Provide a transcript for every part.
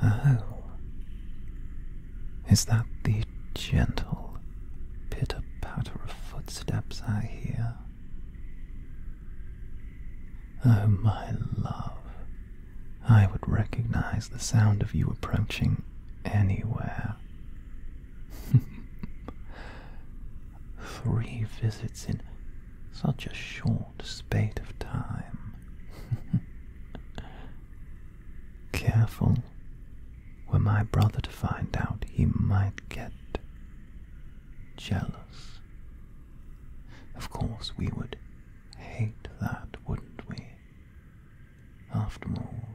Oh, is that the gentle pitter patter of footsteps I hear? Oh, my love, I would recognize the sound of you approaching anywhere. Three visits in such a short spate of time. Careful, were my brother to find out, he might get jealous. Of course, we would hate that, wouldn't we? After all,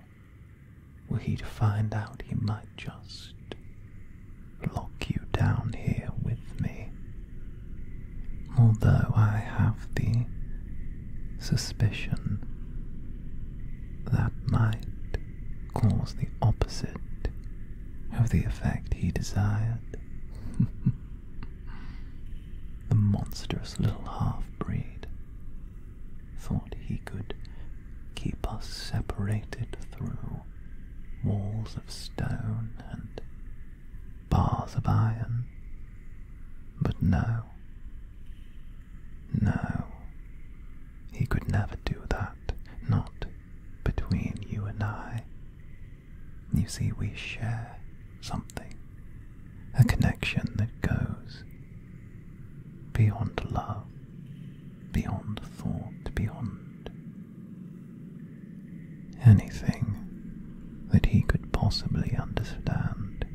were he to find out, he might just lock you down here with me. Although I have the suspicion that might cause the opposite of the effect he desired. the monstrous little half breed thought he could keep us separated through walls of stone and bars of iron. But no, no, he could never do that, not between you and I. You see, we share something a connection that goes beyond love, beyond thought, beyond anything that he could possibly understand.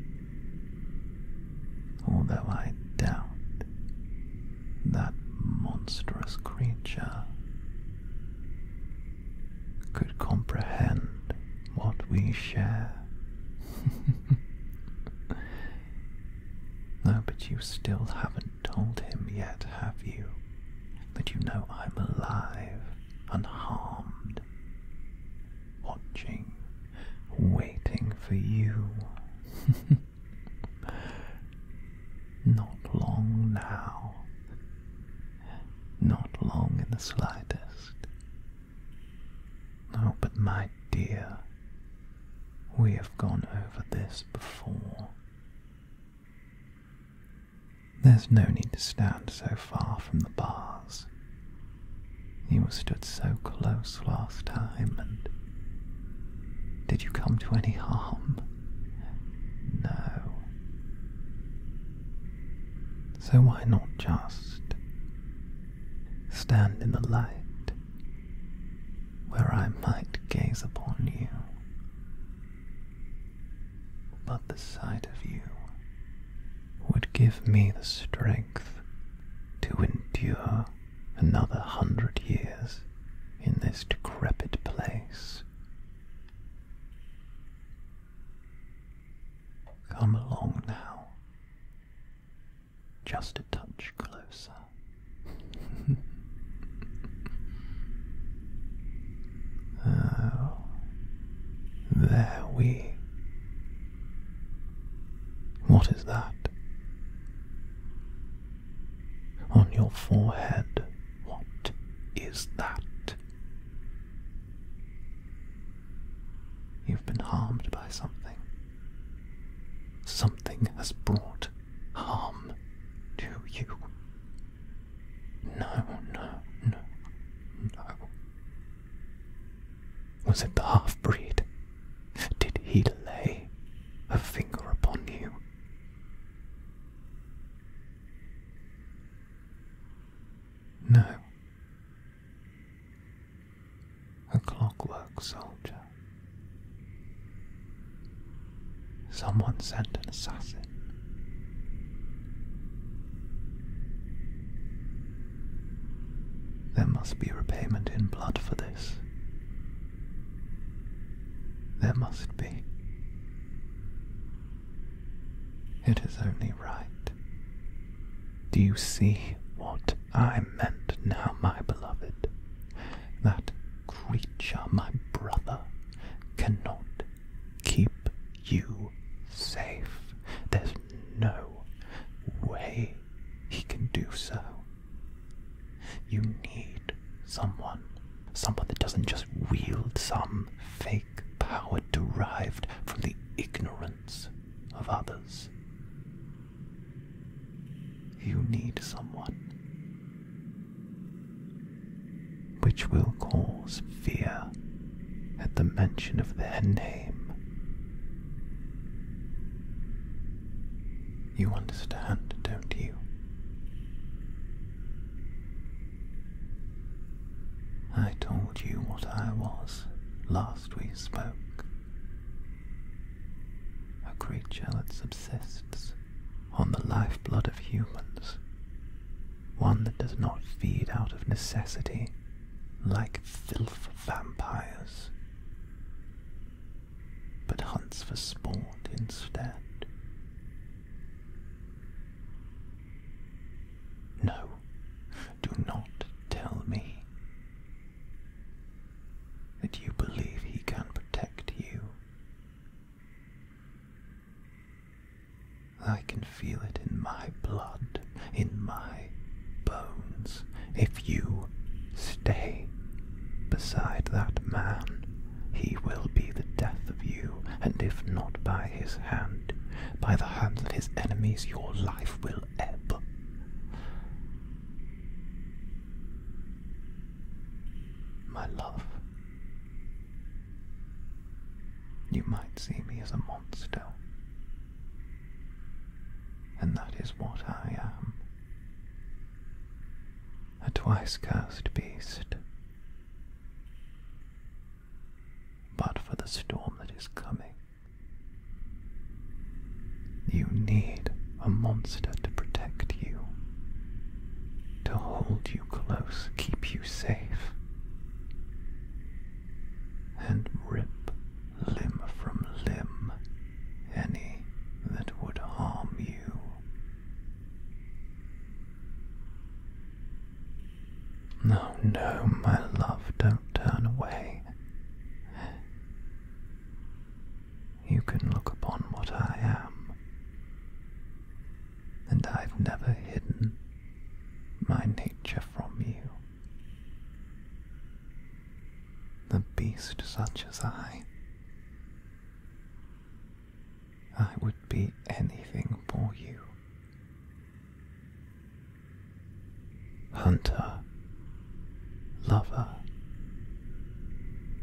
Although I doubt that monstrous creature could comprehend what we share. no, but you still haven't told him yet, have you? That you know I'm alive, unharmed, watching, waiting for you. Not long now. Not long in the slightest. Oh, but my dear, we have gone over this before. There's no need to stand so far from the bars. You stood so close last time, and did you come to any harm? No. So why not just stand in the light where I might gaze upon you? But the sight of you would give me the strength to endure another hundred years in this decrepit place. Come along now. Just a touch closer. oh, there we. What is that? On your forehead, what is that? You've been harmed by something. Something has brought harm to you. No, no, no, no. Was it the half breed? Did he lay a finger upon you? No. A clockwork soldier. Someone sent an assassin. There must be repayment in blood for this. There must be. It is only right. Do you see what I meant now, my beloved? That creature, my brother, cannot keep you safe. There's no way he can do so. You need someone, someone that doesn't just wield some fake power derived from the ignorance of others. You need someone, which will cause fear at the mention of their name. You understand, don't you? I told you what I was last we spoke. A creature that subsists on the lifeblood of humans. One that does not feed out of necessity like filth vampires, but hunts for sport instead. No, do not tell me that you believe he can protect you. I can feel it in my blood, in my bones, if you stay beside that man he will be the death of you, and if not by his hand, by the hands of his enemies your life will ebb. My love, you might see me as a monster, and that is what I am a twice cursed beast. But for the storm that is coming, you need a monster to protect you, to hold you close, keep you safe, and rip limb from limb any that would harm you. No, no, my love, don't turn away. You can look upon what I am, and I've never hidden my nature from you. The beast such as I I would be anything for you. Hunter, lover,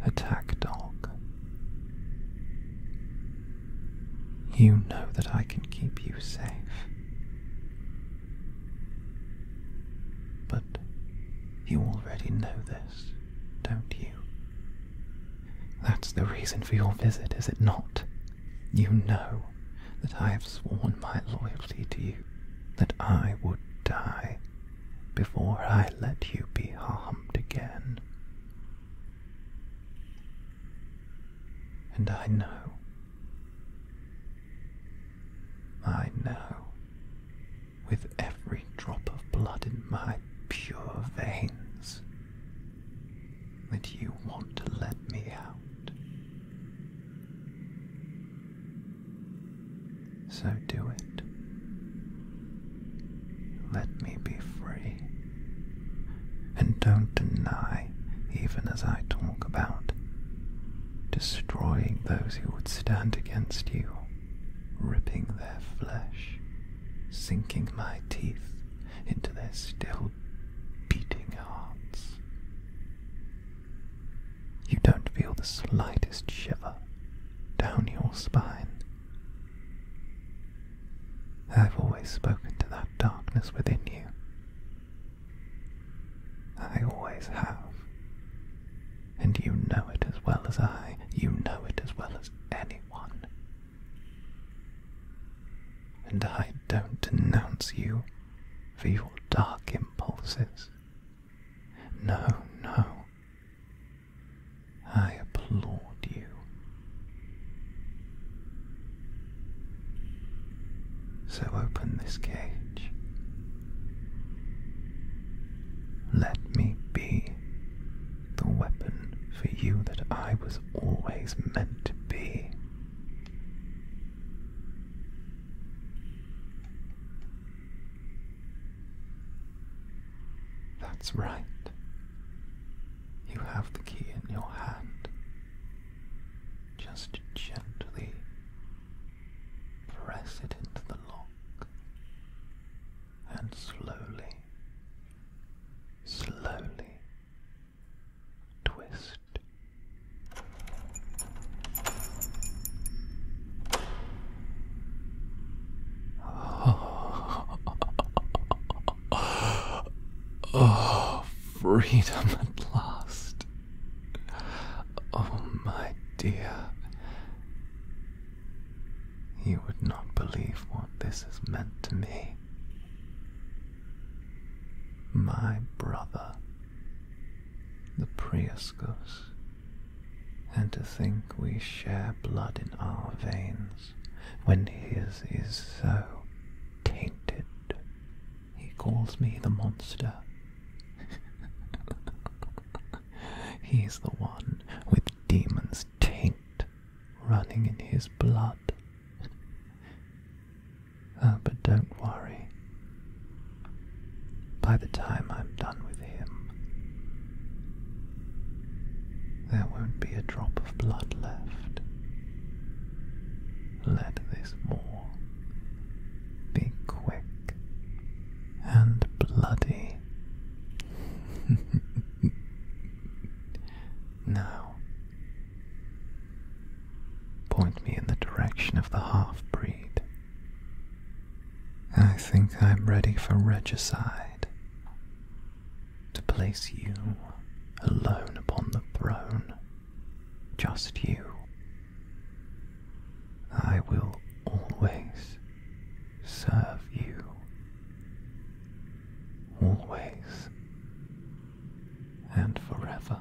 attack dog. You know that I can keep you safe. But you already know this don't you? That's the reason for your visit, is it not? You know that I have sworn my loyalty to you, that I would die before I let you be harmed again. And I know, I know with every drop of blood in my pure veins, that you want to let me out. So do it. Let me be free. And don't deny, even as I talk about, destroying those who would stand against you, ripping their flesh, sinking my teeth into their still beating hearts. You don't feel the slightest shiver down your spine. I've always spoken to that darkness within you. I always have. And you know it as well as I. You know it as well as anyone. And I don't denounce you for your dark impulses. No, no. I applaud you. So open this case. Let me be the weapon for you that I was always meant to be. That's right. You have the key in your hand. Just gently Press it into the lock and slowly, slowly twist. Oh, oh freedom at last. Oh, my dear. You would not believe what this has meant to me. My brother, the Priuscus, and to think we share blood in our veins when his is so tainted he calls me the monster. He's the one with demon's taint running in his blood. Ah, but don't worry. By the time I'm done with him, there won't be a drop of blood left let this war be quick and bloody. now, point me in the direction of the half breed. I think I'm ready for regicide. To place you alone upon the throne just you. I will always serve you. Always and forever.